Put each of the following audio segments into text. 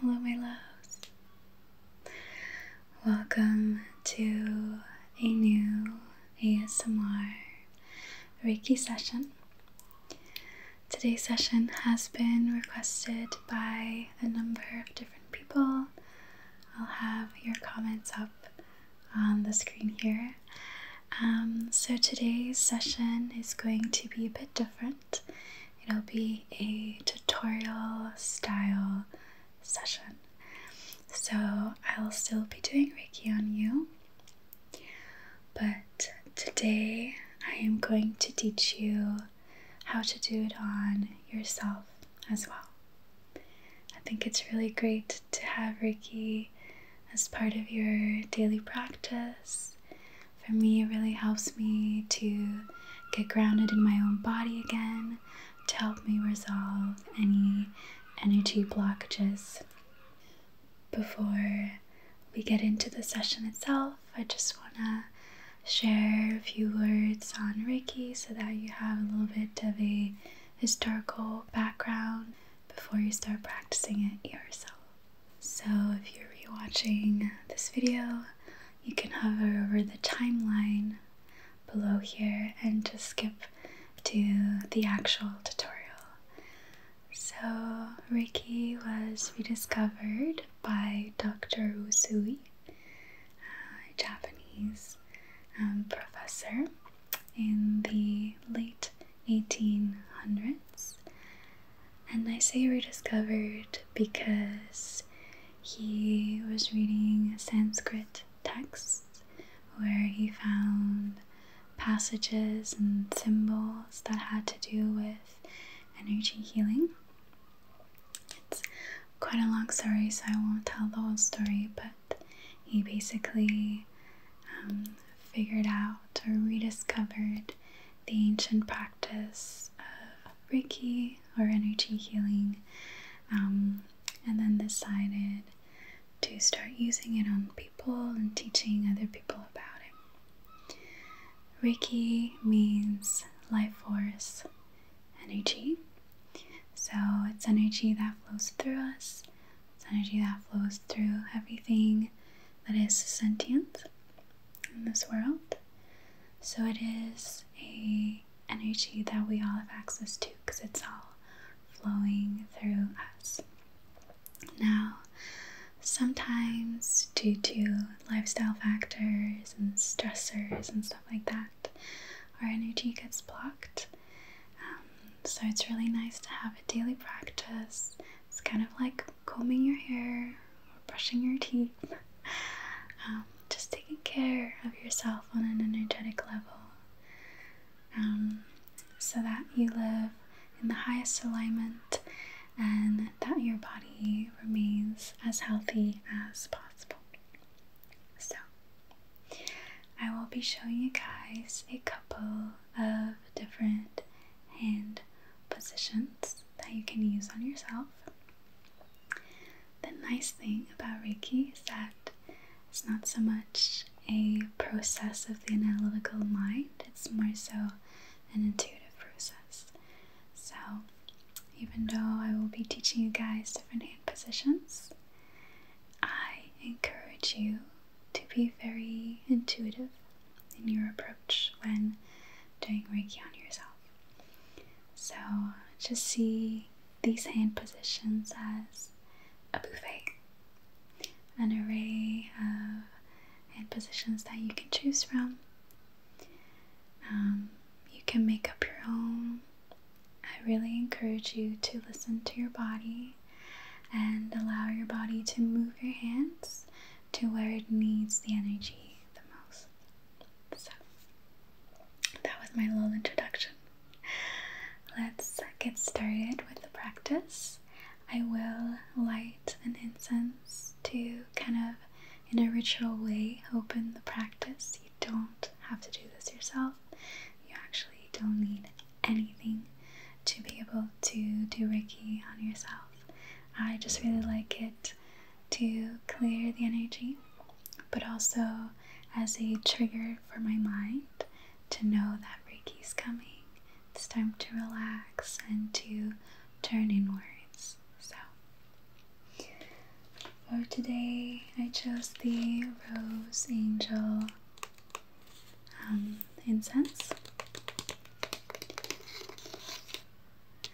Hello, my loves. Welcome to a new ASMR Reiki session. Today's session has been requested by a number of different people. I'll have your comments up on the screen here. Um, so, today's session is going to be a bit different it'll be a tutorial style session. So I'll still be doing Reiki on you, but today I am going to teach you how to do it on yourself as well. I think it's really great to have Reiki as part of your daily practice for me, it really helps me to get grounded in my own body again to help me resolve any energy blockages. Before we get into the session itself, I just want to share a few words on Reiki so that you have a little bit of a historical background before you start practicing it yourself. So if you're rewatching this video, you can hover over the timeline below here and just skip to the actual tutorial. So Reiki was rediscovered by Dr. Usui, a Japanese um, professor in the late 1800s and I say rediscovered because he was reading Sanskrit texts where he found passages and symbols that had to do with energy healing. It's quite a long story, so I won't tell the whole story, but he basically um, figured out or rediscovered the ancient practice of Reiki or energy healing, um, and then decided to start using it on people and teaching other people about it. Reiki means life force energy, so it's energy that flows through us, it's energy that flows through everything that is sentient in this world. So it is a energy that we all have access to because it's all flowing through us. Now, sometimes due to lifestyle factors and stressors and stuff like that, our energy gets blocked. Um, so it's really nice to have a daily practice. It's kind of like combing your hair or brushing your teeth, um, just taking care of yourself on an energetic level um, so that you live in the highest alignment and that your body remains as healthy as possible. So, I will be showing you guys a couple of different hand positions that you can use on yourself. The nice thing about Reiki is that it's not so much a process of the analytical mind, it's more so an intuitive process. So, even though I will be teaching you guys different hand positions, I encourage you to be very intuitive in your approach when doing Reiki on yourself. So just see these hand positions as a buffet, an array of hand positions that you can choose from. Um, you can make up your own. I really encourage you to listen to your body and allow your body to move your hands to where it needs the energy the most. So, that was my little introduction. Let's get started with the practice. I will light an incense to kind of, in a ritual way, open the practice. You don't have to do this yourself, you actually don't need anything to be able to do Reiki on yourself. I just really like it to clear the energy, but also as a trigger for my mind to know that Reiki is coming. It's time to relax and to turn inwards. So, for today, I chose the Rose Angel um, incense.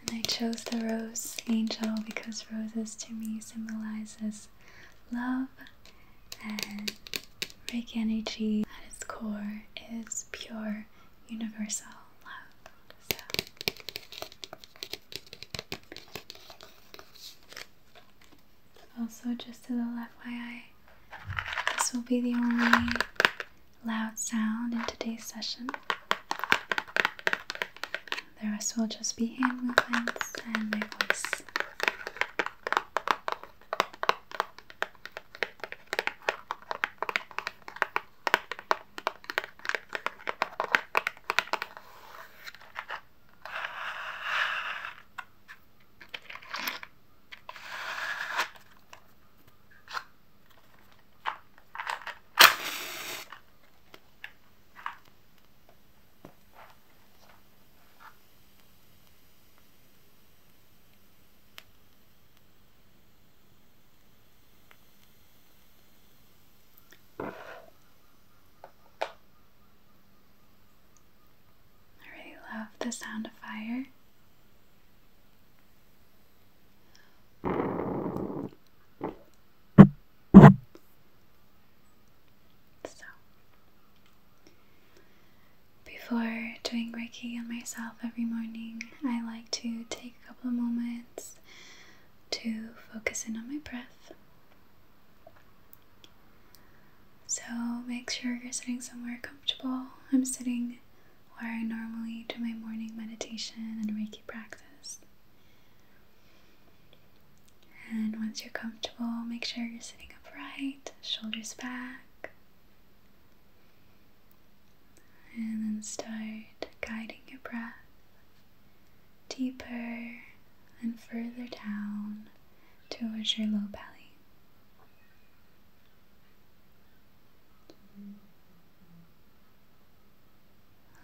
And I chose the rose angel because roses to me symbolizes love and Reiki energy at its core is pure universal love. Also, just to the left, why this will be the only loud sound in today's session. The rest will just be hand movements and my voice. I really love the sound of fire. So, before doing Reiki on myself every morning, I like to take a couple of moments to focus in on my breath. So, make sure you're sitting somewhere comfortable. I'm sitting where I normally do my morning meditation and Reiki practice. And once you're comfortable, make sure you're sitting upright, shoulders back, and then start guiding your breath deeper and further down towards your low belly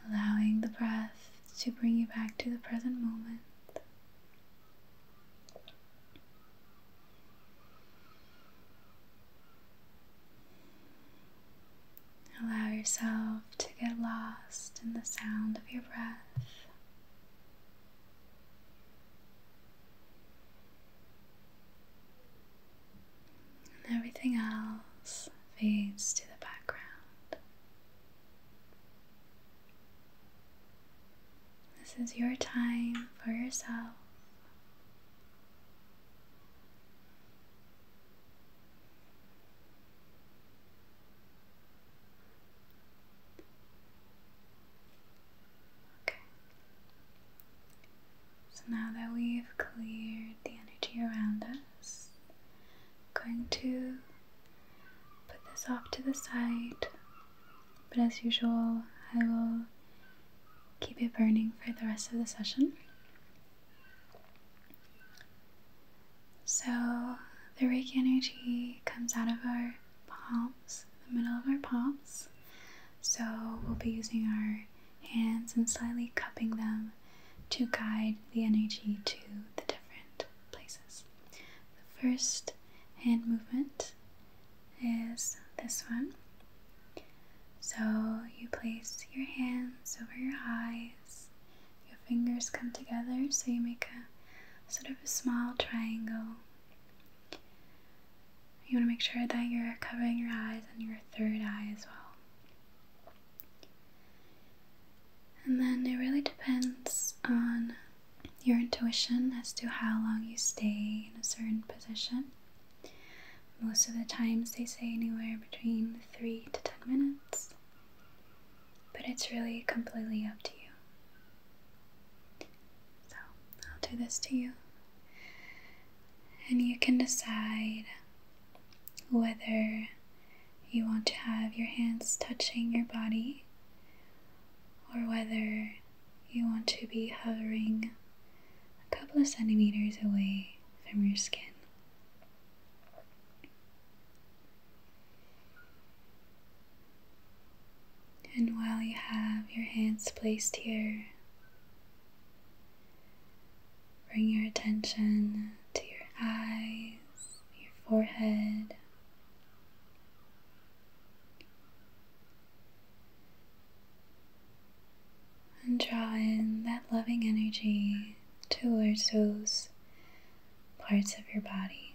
allowing the breath to bring you back to the present moment. Allow yourself to get lost in the sound of your breath and everything else fades to the background. This is your time for yourself. So now that we've cleared the energy around us, I'm going to put this off to the side, but as usual, I will keep it burning for the rest of the session. So the Reiki energy comes out of our palms, the middle of our palms, so we'll be using our hands and slightly cupping them to guide the energy to the different places. The first hand movement is this one. So you place your hands over your eyes, your fingers come together, so you make a sort of a small triangle. You want to make sure that you're covering your eyes and your third eye as well. And then it really depends on your intuition as to how long you stay in a certain position. Most of the times they say anywhere between 3 to 10 minutes, but it's really completely up to you. So I'll do this to you and you can decide whether you want to have your hands touching your body or whether you want to be hovering a couple of centimeters away from your skin. And while you have your hands placed here, Bring your attention to your eyes, your forehead. And draw in that loving energy towards those parts of your body.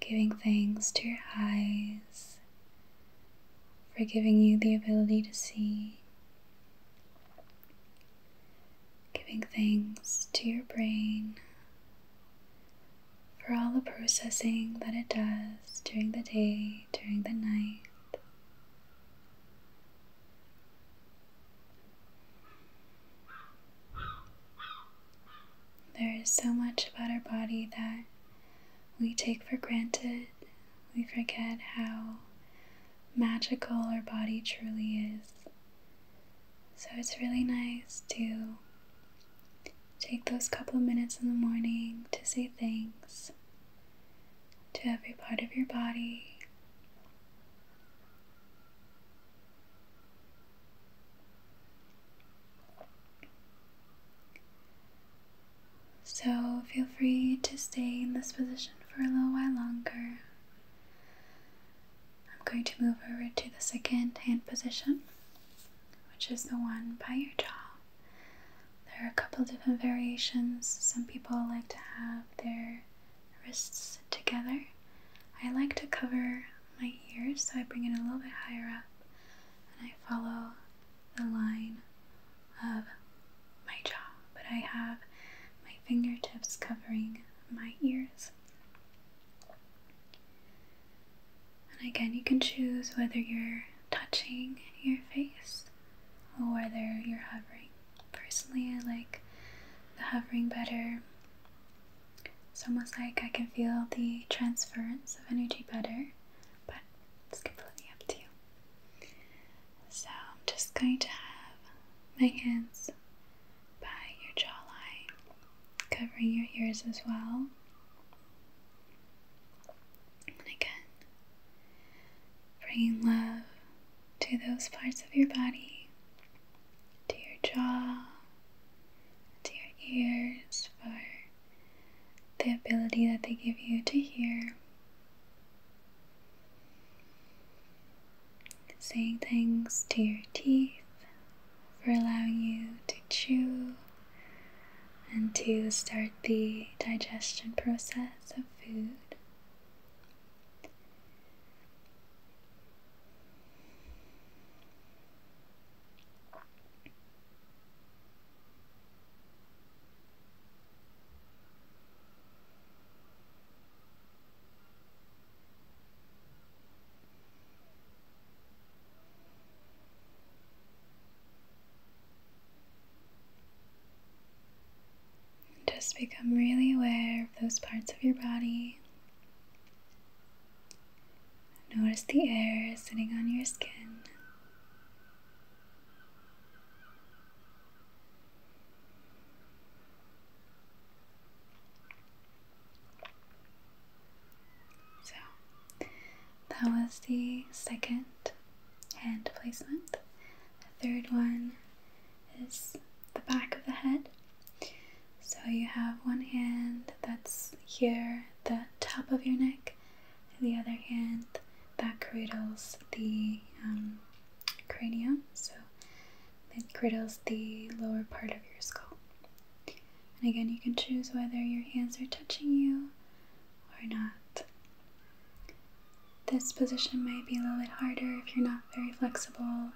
Giving thanks to your eyes for giving you the ability to see, giving things to your brain for all the processing that it does during the day, during the night. There is so much about our body that we take for granted we forget how magical our body truly is. So it's really nice to take those couple of minutes in the morning to say thanks to every part of your body. So feel free to stay in this position for a little while longer. I'm going to move over to the second hand position, which is the one by your jaw. There are a couple different variations. Some people like to have their wrists together. I like to cover my ears, so I bring it a little bit higher up and I follow the line of my jaw, but I have my fingertips covering my ears. And again, you can choose whether you're touching your face or whether you're hovering. Personally, I like the hovering better. It's almost like I can feel the transference of energy better but it's completely up to you. So I'm just going to have my hands by your jawline, covering your ears as well. And again, bringing love to those parts of your body, to your jaw, to your ears for the ability that they give you to hear, saying things to your teeth for allowing you to chew and to start the digestion process of food. Just become really aware of those parts of your body. Notice the air sitting on your skin. So that was the second hand placement. The third one is the back of the head. So you have one hand that's here the top of your neck the other hand, that cradles the um, cranium, so it cradles the lower part of your skull. And again, you can choose whether your hands are touching you or not. This position might be a little bit harder if you're not very flexible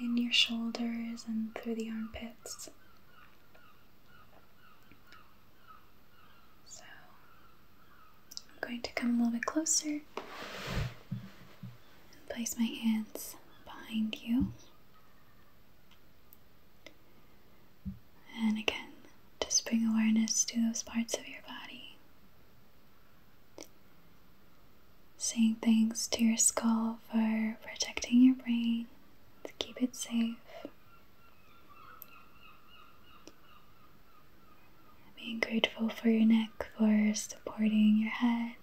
in your shoulders and through the armpits. So I'm going to come a little bit closer and place my hands behind you. And again, just bring awareness to those parts of your body. Saying thanks to your skull for protecting your brain to keep it safe being grateful for your neck for supporting your head.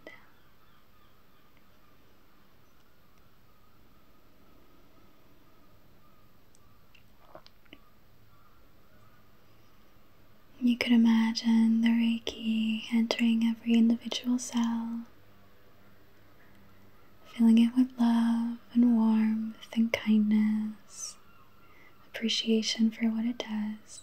You could imagine the Reiki entering every individual cell, filling it with love and warmth and kindness, appreciation for what it does.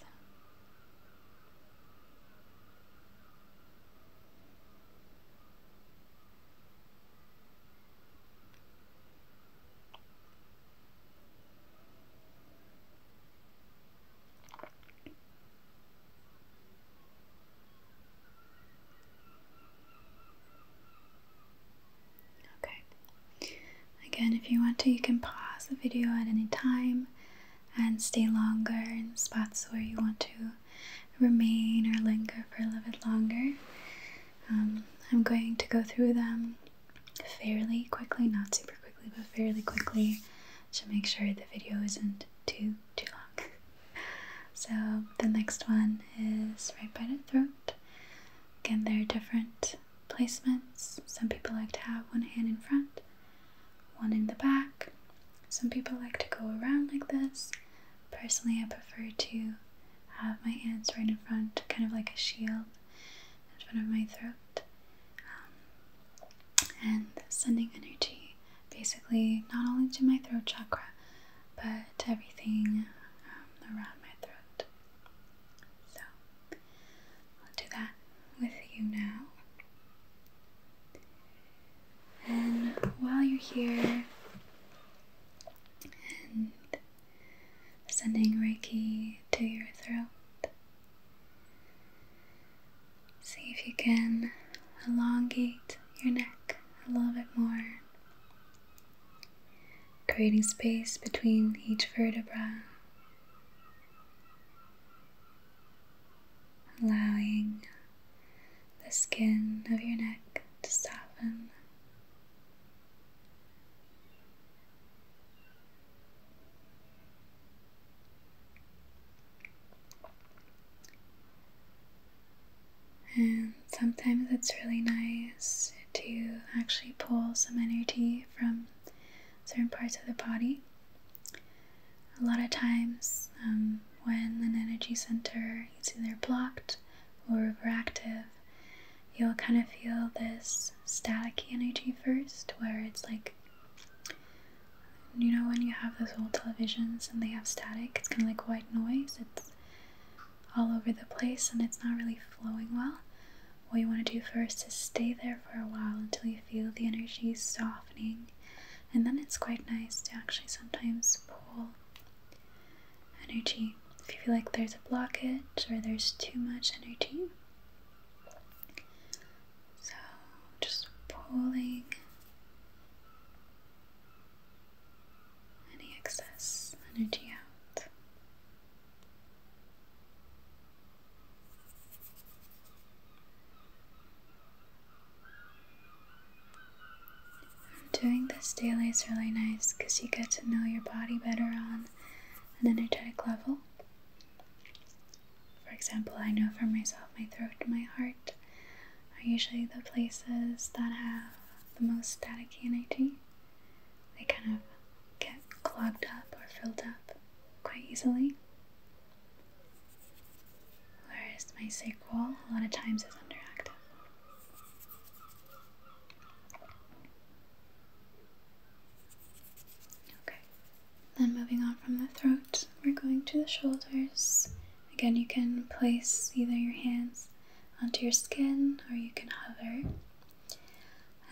Okay. Again, if you want to, you can pause the video at any time and stay longer in spots where you want to remain or linger for a little bit longer. Um, I'm going to go through them fairly quickly, not super quickly, but fairly quickly to make sure the video isn't too too long. so the next one is right by the throat. Again, there are different placements. Some people like to have one hand in front, one in the back. Some people like to go around like this. Personally, I prefer to have my hands right in front, kind of like a shield in front of my throat. Um, and sending energy basically not only to my throat chakra, but everything um, around my throat. So I'll do that with you now. And while you're here and sending Reiki to your throat, see if you can elongate your neck a little bit more creating space between each vertebra, allowing the skin of your neck to soften. And sometimes it's really nice to actually pull some energy from certain parts of the body. A lot of times, um, when an energy center is either blocked or overactive, you'll kind of feel this staticky energy first, where it's like, you know, when you have those old televisions and they have static, it's kind of like white noise. It's all over the place and it's not really flowing well, what you want to do first is stay there for a while until you feel the energy softening. And then it's quite nice to actually sometimes pull energy. If you feel like there's a blockage or there's too much energy. So just pulling any excess energy out. Doing this daily is really nice because you get to know your body better on an energetic level. For example, I know for myself, my throat my heart are usually the places that have the most static energy they kind of get clogged up or filled up quite easily. Whereas my sacral a lot of times is underactive. Okay, then moving on from the throat, we're going to the shoulders. Again, you can place either your hands onto your skin or you can hover.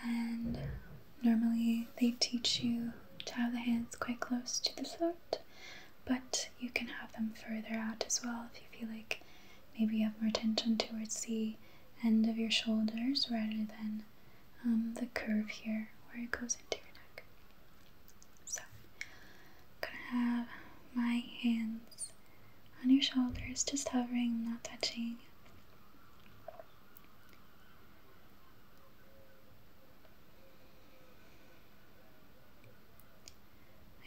And normally they teach you to have the hands quite close to the throat, but you can have them further out as well if you feel like maybe you have more tension towards the end of your shoulders rather than um, the curve here where it goes into your neck. So I'm gonna have my hands on your shoulders, just hovering, not touching.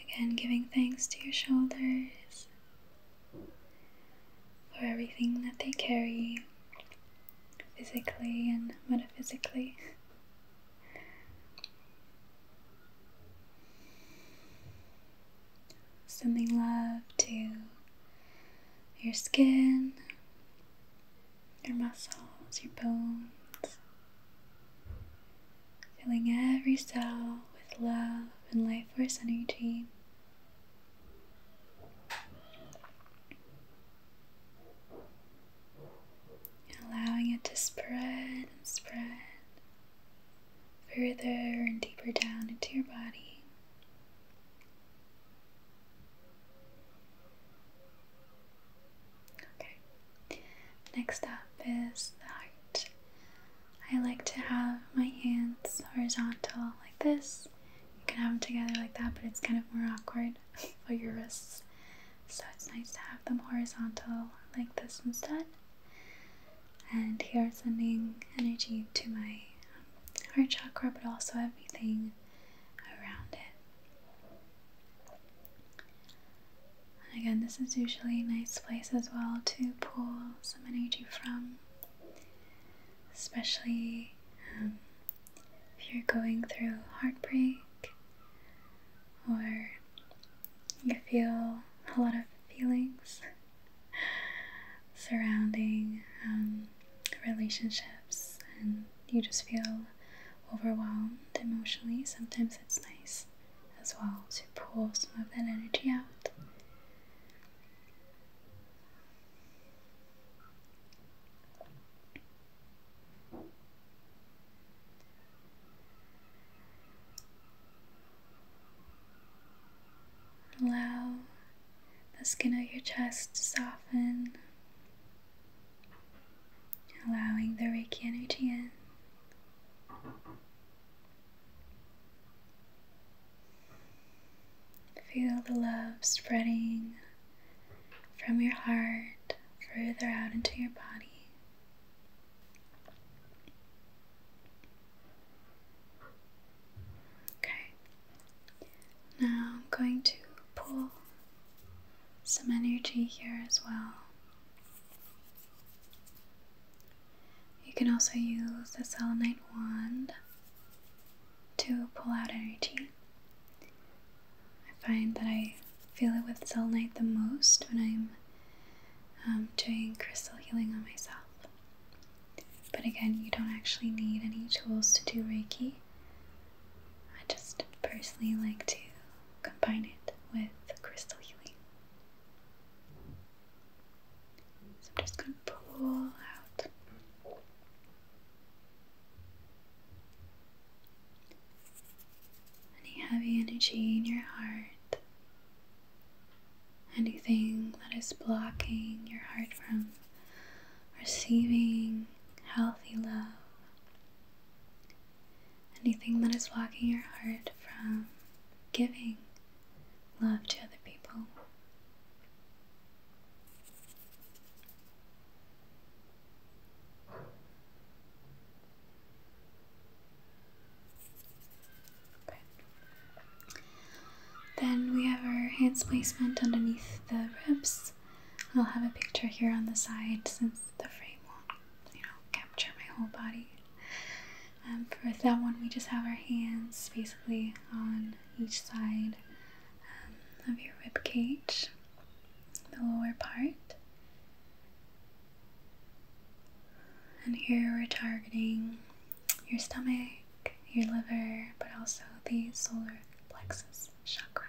Again, giving thanks to your shoulders for everything that they carry physically and metaphysically. Sending love to your skin, your muscles, your bones. Filling every cell with love and life force energy. Allowing it to spread and spread further and deeper down into your body. Okay, next up is the heart. I like to have my hands horizontal like this. You can have them together like that, but it's kind of more awkward for your wrists. So it's nice to have them horizontal like this instead and here sending energy to my heart chakra but also everything around it. And again, this is usually a nice place as well to pull some energy from, especially um, if you're going through heartbreak or you feel a lot of feelings surrounding um, relationships and you just feel overwhelmed emotionally, sometimes it's nice as well to pull some of that energy out. Allow the skin of your chest to soften, allowing the Reiki energy in. Feel the love spreading from your heart further out into your body. Okay, now I'm going to pull some energy here as well. You can also use the selenite wand to pull out energy. I find that I feel it with selenite the most when I'm um, doing crystal healing on myself. But again, you don't actually need any tools to do Reiki. I just personally like to combine it with crystal healing. So I'm just going to pull out. Any heavy energy in your heart anything that is blocking your heart from receiving healthy love, anything that is blocking your heart from giving love to other people. Then we have our hands placement underneath the ribs. I'll have a picture here on the side since the frame won't, you know, capture my whole body. Um, for that one, we just have our hands basically on each side um, of your rib cage, the lower part. And here we're targeting your stomach, your liver, but also the solar plexus chakra.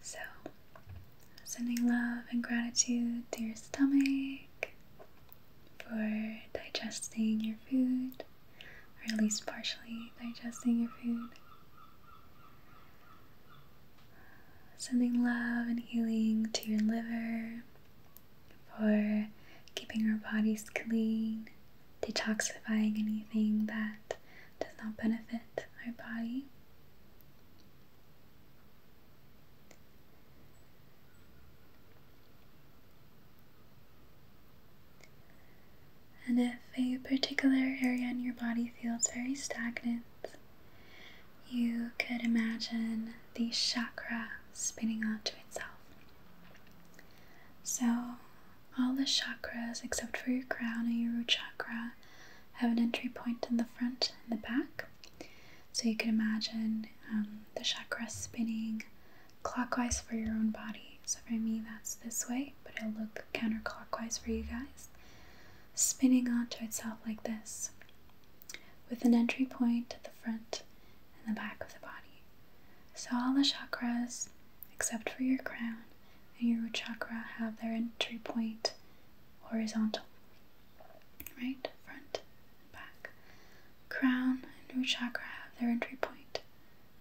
So, sending love and gratitude to your stomach for digesting your food or at least partially digesting your food. Sending love and healing to your liver for keeping our bodies clean, detoxifying anything that does not benefit our body. And if a particular area in your body feels very stagnant, you could imagine the chakra spinning onto itself. So, all the chakras except for your crown and your root chakra have an entry point in the front and the back. So, you can imagine um, the chakra spinning clockwise for your own body. So for me, that's this way, but it'll look counterclockwise for you guys. Spinning onto itself like this, with an entry point at the front and the back of the body. So all the chakras, except for your crown and your chakra, have their entry point horizontal, right? Front and back. Crown and root chakra have their entry point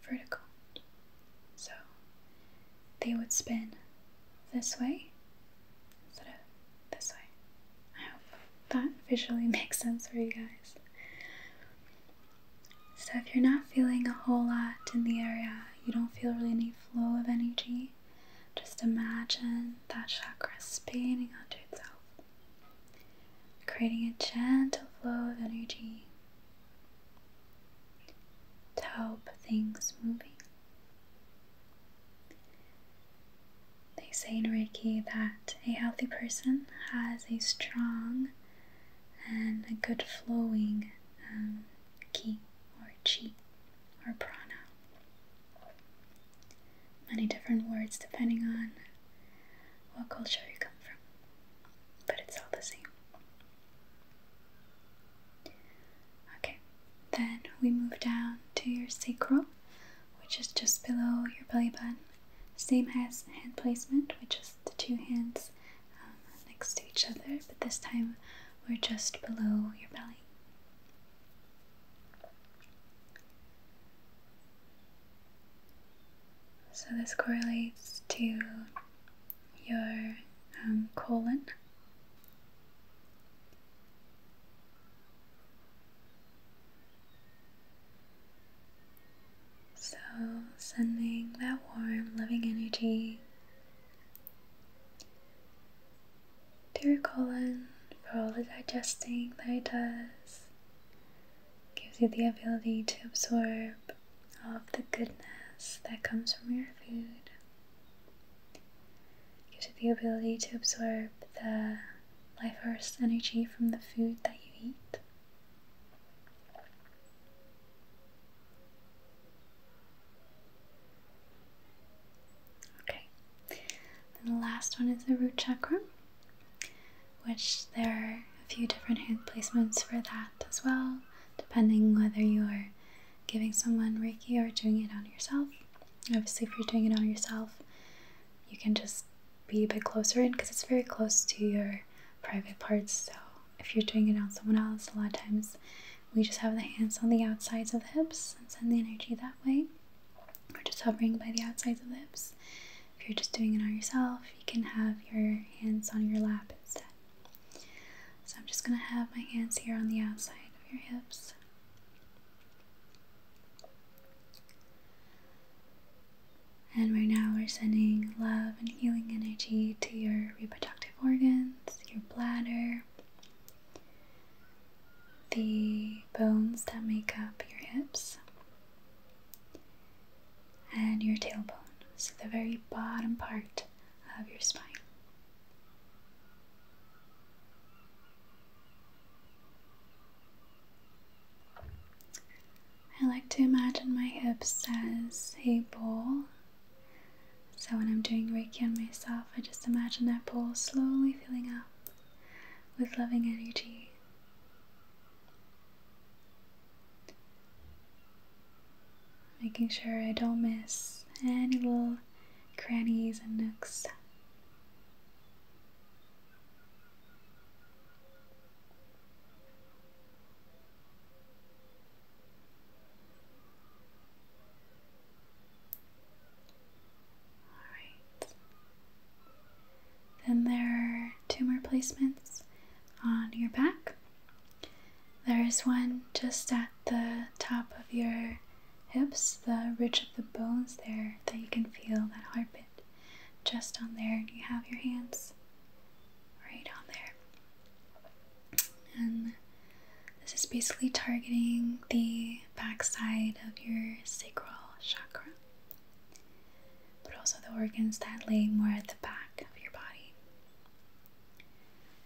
vertical. So they would spin this way instead of this way. I hope that visually makes sense for you guys. So if you're not feeling a whole lot in the area, you don't feel really any flow of energy, just imagine that chakra spinning onto itself, creating a gentle flow of energy to help things moving. They say in Reiki that a healthy person has a strong and a good flowing um, ki or chi or prana. Many different words depending on what culture you come from, but it's all the same. Okay, then we move down to your sacrum, which is just below your belly button. Same as hand placement, which is the two hands um, next to each other, but this time we're just below your belly. So this correlates to your um, colon. So, sending that warm, loving energy to your colon for all the digesting that it does, gives you the ability to absorb all of the goodness that comes from your food. Gives you the ability to absorb the life force energy from the food that you eat. Okay, then the last one is the root chakra which there are a few different hand placements for that as well, depending whether you are giving someone Reiki or doing it on yourself. Obviously, if you're doing it on yourself, you can just be a bit closer in because it's very close to your private parts. So, if you're doing it on someone else, a lot of times we just have the hands on the outsides of the hips and send the energy that way, or just hovering by the outsides of the hips. If you're just doing it on yourself, you can have your hands on your lap instead. So I'm just going to have my hands here on the outside of your hips. And right now we're sending love and healing energy to your reproductive organs, your bladder, the bones that make up your hips, and your tailbone, so the very bottom part of your spine. I like to imagine my hips as a bowl. So when I'm doing Reiki on myself, I just imagine that bowl slowly filling up with loving energy making sure I don't miss any little crannies and nooks. Alright. Then there are two more placements on your back. There is one just at the top of your hips, the ridge of the bones there, that you can feel that heartbeat just on there. You have your hands right on there. And this is basically targeting the backside of your sacral chakra but also the organs that lay more at the back of your body.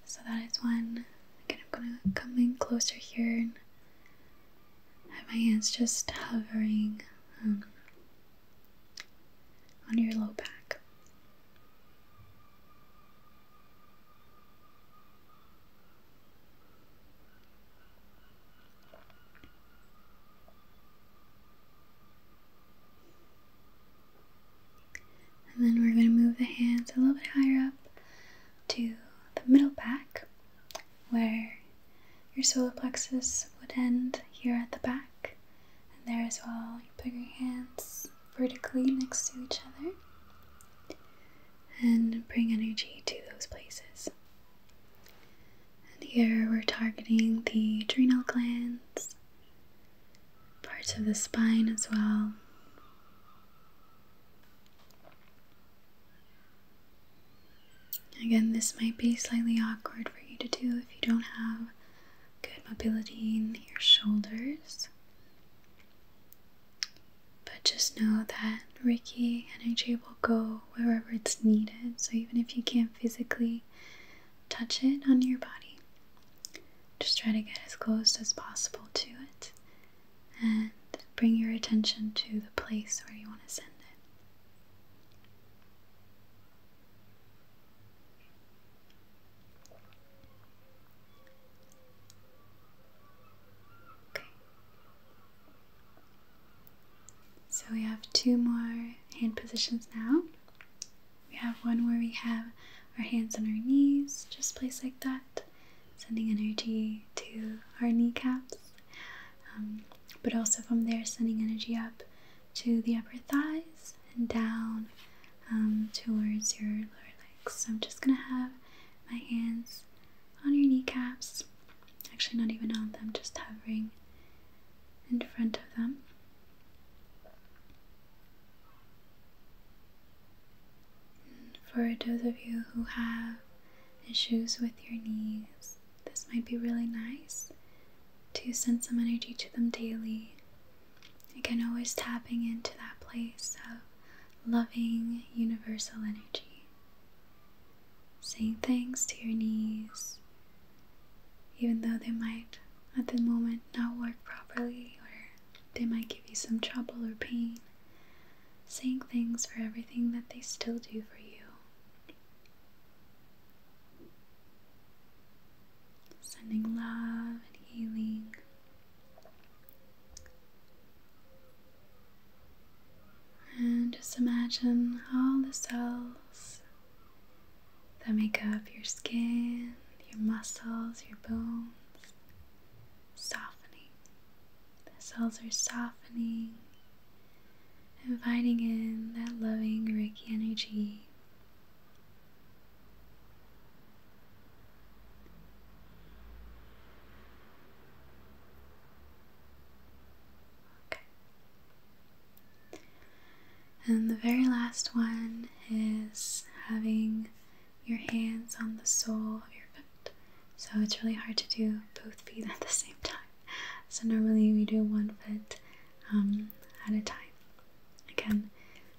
So that is when Again, I'm gonna come in closer here and have my hands just hovering um, on your low back. And then we're going to move the hands a little bit higher up to the middle back where your solar plexus would end here at the back. And there as well, you put your hands vertically next to each other and bring energy to those places. And here we're targeting the adrenal glands parts of the spine as well. Again, this might be slightly awkward for you to do if you don't have good mobility in your shoulders. But just know that Reiki energy will go wherever it's needed. So even if you can't physically touch it on your body. Just try to get as close as possible to it and bring your attention to the place where you want to send it. Okay. So we have two more hand positions now. We have one where we have our hands on our knees, just placed like that, sending energy to our kneecaps, um, but also from there, sending energy up to the upper thighs and down um, towards your lower legs. So I'm just gonna have my hands on your kneecaps, actually, not even on them, just hovering in front of them. for those of you who have issues with your knees, this might be really nice to send some energy to them daily. Again, always tapping into that place of loving universal energy. Saying thanks to your knees even though they might at the moment not work properly or they might give you some trouble or pain, saying things for everything that they still do for you. Sending love and healing. And just imagine all the cells that make up your skin, your muscles, your bones, softening. The cells are softening, inviting in that loving Reiki energy. And the very last one is having your hands on the sole of your foot. So it's really hard to do both feet at the same time. So normally we do one foot um, at a time. Again,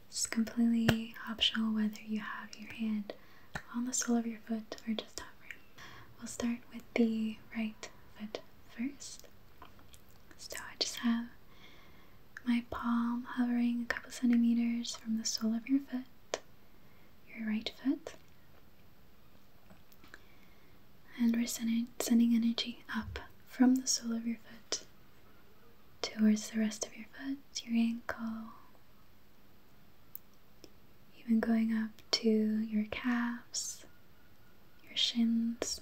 it's completely optional whether you have your hand on the sole of your foot or just hovering. We'll start with the right foot first. So I just have my palm hovering a couple centimeters from the sole of your foot, your right foot. And we're sending, sending energy up from the sole of your foot towards the rest of your foot, your ankle, even going up to your calves, your shins.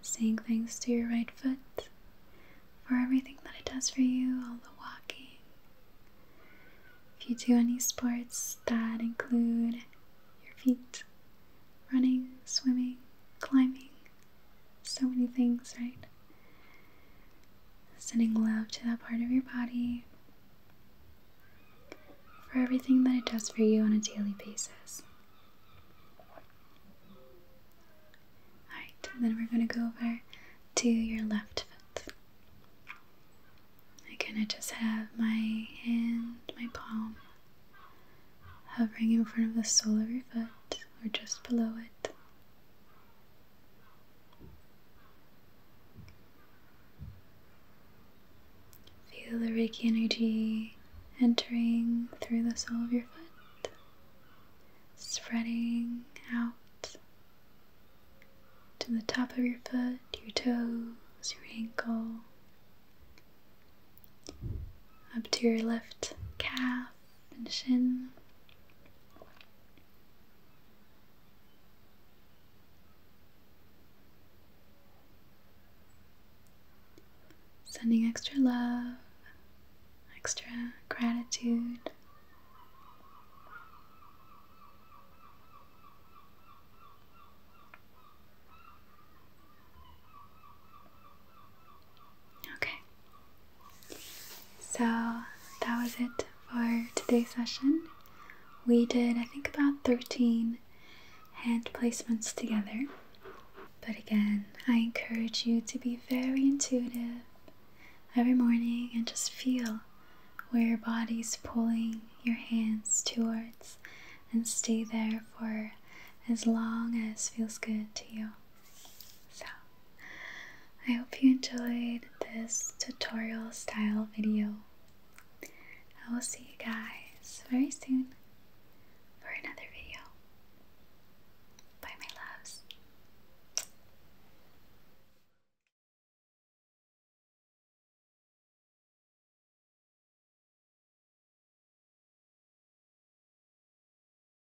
Saying thanks to your right foot for everything that it does for you, all the walking. If you do any sports that include your feet, running, swimming, climbing, so many things, right? Sending love to that part of your body for everything that it does for you on a daily basis. Alright, then we're going to go over to your left foot. Again, I just have my hand, my palm hovering in front of the sole of your foot or just below it. Feel the Reiki energy entering through the sole of your foot, spreading out to the top of your foot, your toes, your ankle, up to your left calf, Sending extra love, extra gratitude. Okay. So that was it for today's session. We did, I think, about 13 hand placements together. But again, I encourage you to be very intuitive every morning and just feel where your body's pulling your hands towards and stay there for as long as feels good to you. So, I hope you enjoyed this tutorial style video. I will see you guys very soon for another video. Bye, my loves.